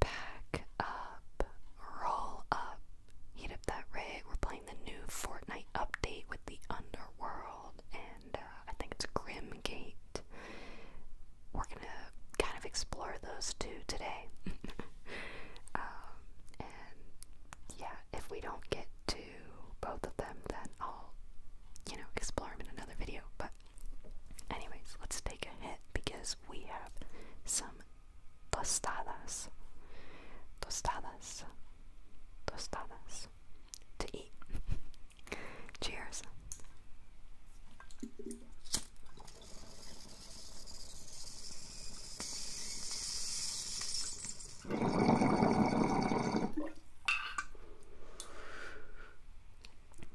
Back up, roll up, heat up that rig. We're playing the new Fortnite update with the Underworld, and uh, I think it's Grimgate. We're gonna kind of explore those two today. Um, and yeah, if we don't get to both of them, then I'll, you know, explore them in another video. But Anyways, let's take a hit because we have some tostadas. Tostadas. Tostadas. To eat. Cheers.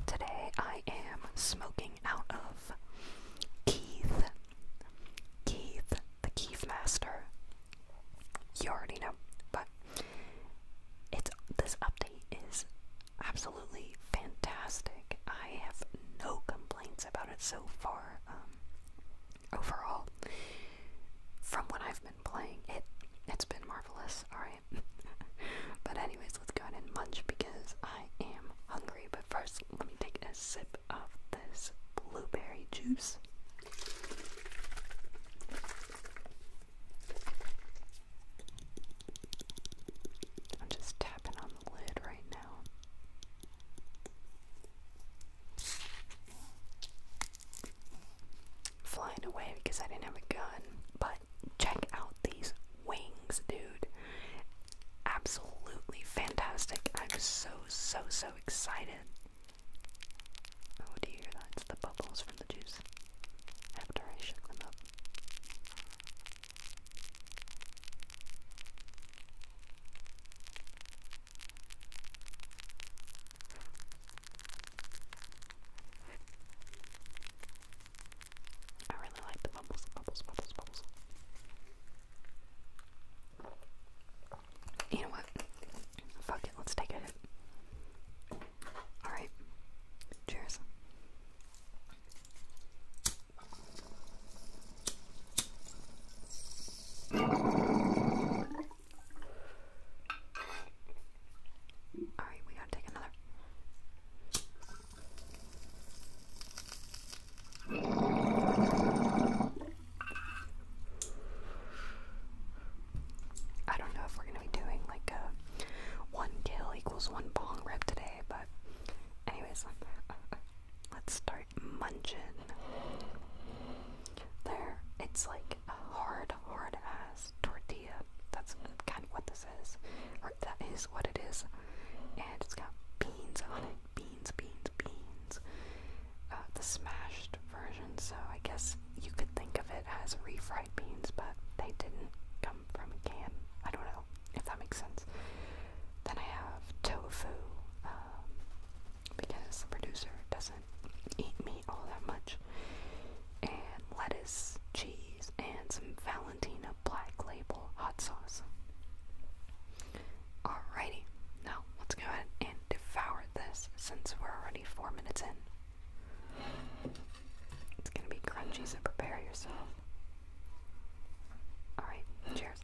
Today I am smoking out of Keith. Keith, the Keith Master. You already know, but it's this update is absolutely fantastic. I have no complaints about it so far. Um, overall, from what I've been playing, it it's been marvelous. All right. but anyways, let's go ahead and munch because I am hungry. But first, let me take a sip of this blueberry juice. I'm just tapping on the lid right now. Flying away because I didn't have a gun, but check out these wings, dude. Absolutely fantastic. I'm so, so, so excited. Oh, do you hear that? It's the bubbles from the juice after I shook them up. I really like the bubbles, bubbles, bubbles, bubbles. You know what? Fuck it, let's take it. Alright. Cheers. Alright, we gotta take another. I don't know if we're gonna be doing like a one kill equals one bong rip today, but anyways, let's start munching. There, it's like a hard, hard ass tortilla. That's kind of what this is, or that is what it is. And it's got beans on it. Beans, beans, beans. Uh, the smashed version. So I guess you could think of it as refried beans, but they didn't come from a can. I don't know if that makes sense. Then I have tofu um, because the producer doesn't eat meat all that much, and lettuce, cheese, and some Valentino black label hot sauce. Alrighty, now let's go ahead and devour this since we're already four minutes in. It's gonna be crunchy, so prepare yourself. Alright, cheers.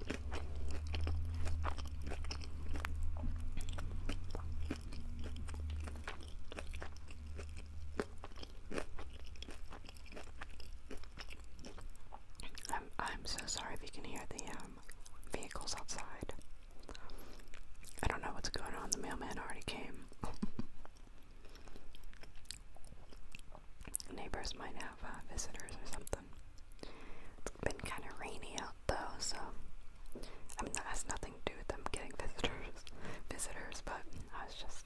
I'm I'm so sorry if you can hear the um vehicles outside. I don't know what's going on. The mailman already came. Neighbors might have uh, visitors or something. It's been kind of rainy out though, so I mean that has nothing to do with them getting visitors, visitors. But I was just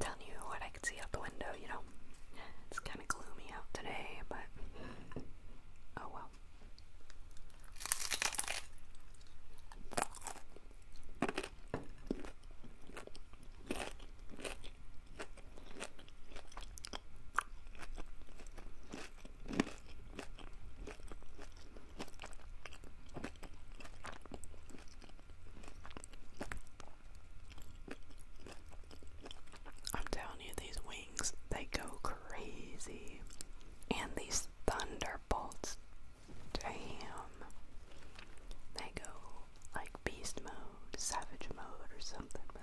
telling you what I could see out the window. You know, it's kind of gloomy out today, but oh well. I'm telling you, these wings, they go crazy. And these thunderbolts, damn. They go like beast mode, savage mode, or something, bro.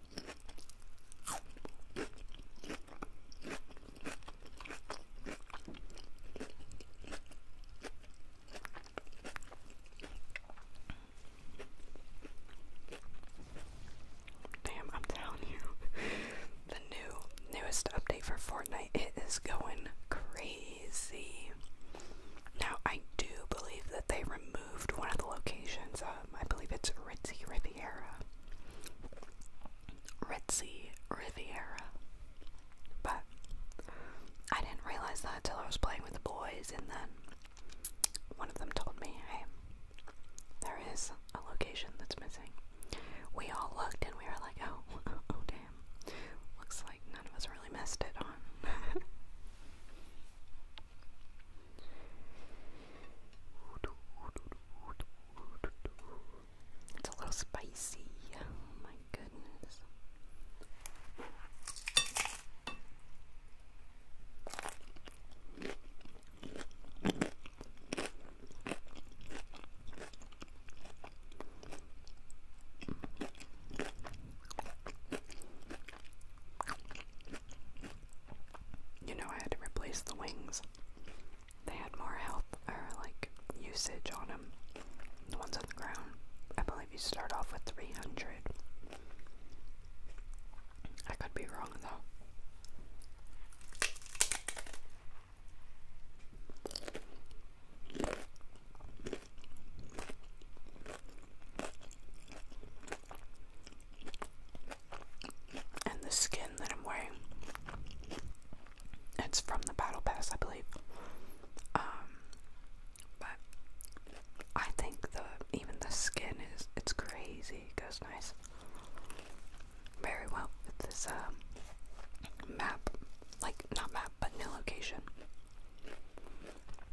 Damn, I'm telling you, the new newest update for Fortnite, it is going crazy. Now I do believe that they removed one of the locations. Um, I believe it's Ritzie Riviera. Ritzie Riviera. But I didn't realize that until I was playing with the boys, and then one of them told me, hey, there is a location that's missing. We all looked and we were like, oh, oh, oh damn. Looks like none of us really missed it It's a little spicy. Oh my goodness you know, I had to replace the wings. They had more health or like usage on them. The ones on the ground, I believe you start off with 300. I could be wrong though and the skin that I'm wearing. It's from the Battle Pass, I believe. Um, but I think the even the skin is it's crazy. It goes nice, very well with this uh, map, like not map, but new location.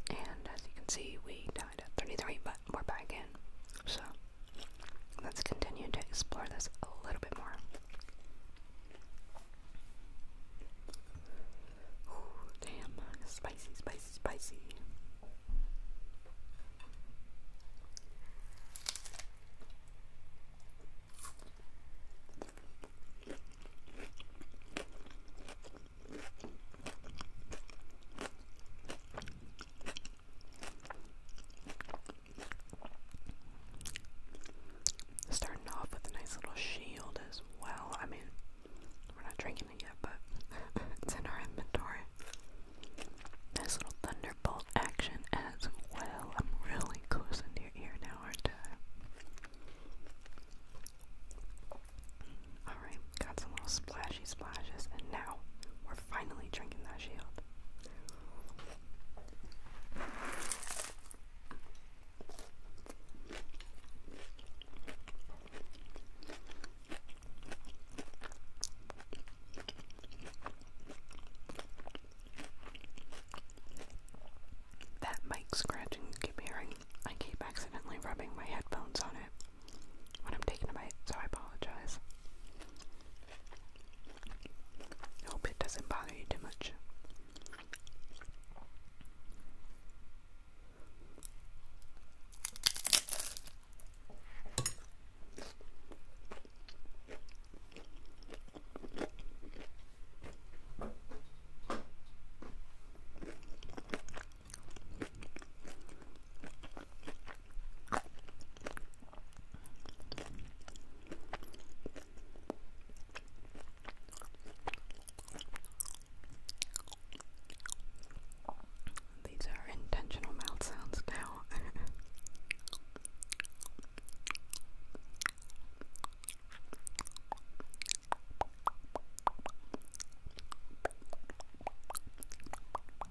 And as you can see, we died at 33, but we're back in. So Let's continue to explore this a little bit more. damn, spicy, spicy, spicy. Starting off with a nice little shield as well. I mean, we're not drinking it yet, but it's in our inventory. Nice little thunderbolt action as well. I'm really close into your ear now, aren't I? got some little splashy splashes, and now we're finally drinking that shield. That mic scratching keep hearing, I keep accidentally rubbing my headphones on it when I'm taking a bite, so I apologize. I hope it doesn't bother you too much. These are intentional mouth sounds now.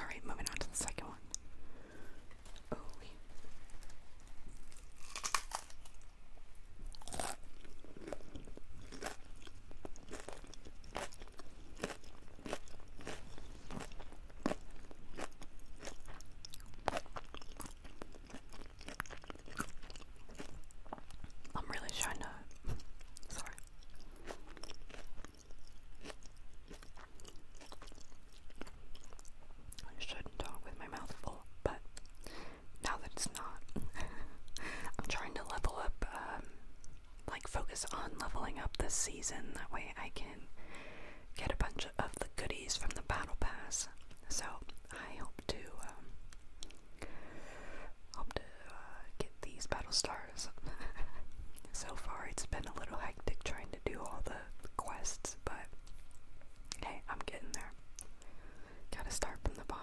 Alright, moving on to the second one. Oh, I'm really trying to. Sorry. I shouldn't talk with my mouth full, but now that it's not, I'm trying to level up, um, like focus on leveling up this season. That way I can get a bunch of the goodies from the battle pass. So I hope to um, Hope to uh, get these battle stars. so far, it's been a little hectic trying to do all the quests, but hey, I'm getting there. Gotta start from the bottom.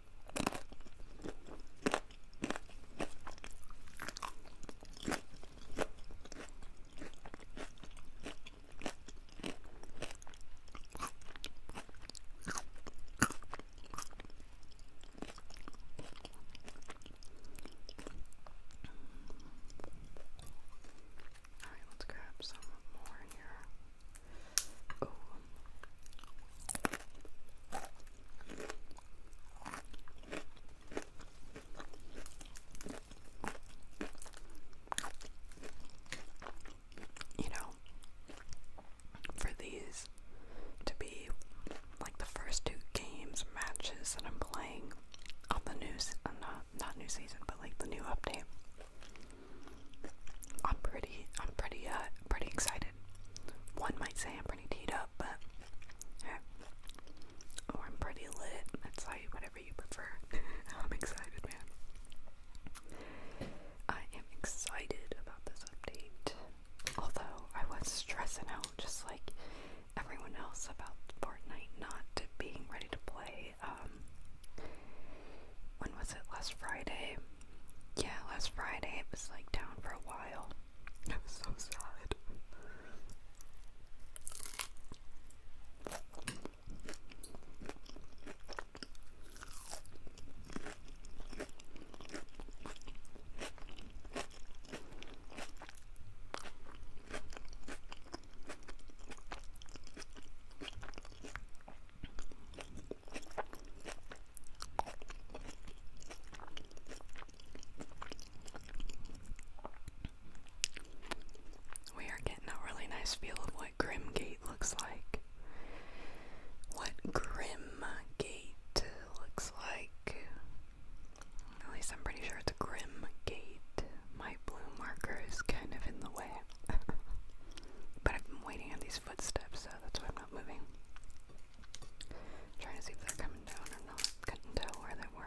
All right, let's grab some more here. Oh. Um, you know, for these to be like the first two games, matches that I'm playing on the new, uh, not, not new season, but like the new update, I'm pretty, I'm pretty, uh, pretty excited. One might say I'm teed up, but oh, I'm pretty lit. It's like whatever you prefer. I'm excited, man. I am excited about this update. Although I was stressing out, just like everyone else, about Fortnite not being ready to play. Um, when was it? Last Friday. Yeah, last Friday it was like down for a while. It was so sad. We are getting a really nice feel of what Grimgate looks like. What Grimgate looks like. At least I'm pretty sure it's Grimgate. My blue marker is kind of in the way. but I've waiting on these footsteps, so that's why not moving. I'm trying to see if they're coming down or not. Couldn't tell where they were.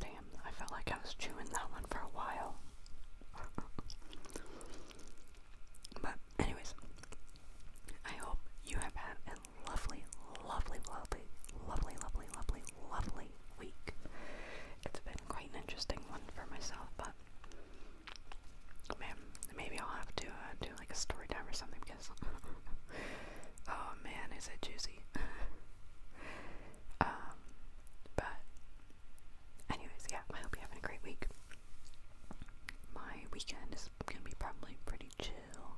Damn, I felt like I was chewing that one for a while. but, anyways, I hope you have had a lovely, lovely, lovely, lovely, lovely, lovely, lovely week. It's been quite an interesting one for myself, but man, maybe I'll have to uh, do like a story time or something oh man, is it juicy? um, but anyways, yeah, I hope you're having a great week. My weekend is gonna be probably pretty chill.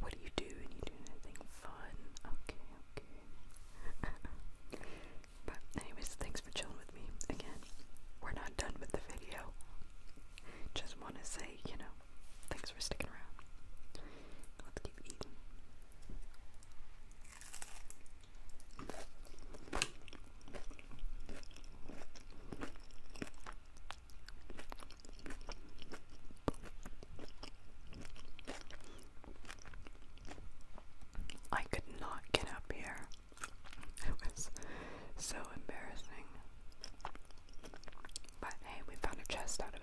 What do you do? And you do anything fun? Okay, okay. but anyways, thanks for chilling with me again. We're not done with the video just want to say, you know, thanks for sticking around. Let's keep eating. I could not get up here. It was so embarrassing. But hey, we found a chest out of it.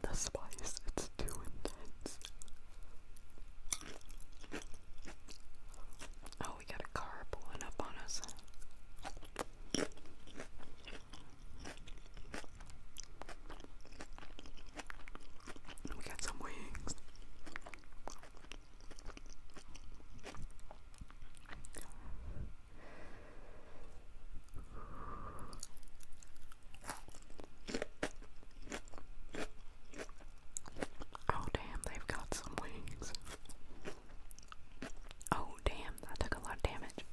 The spice, it's too intense. Oh, we got a car pulling up on us. We got some wings. Oh, damn, they've got some wings. Oh, damn, that took a lot of damage.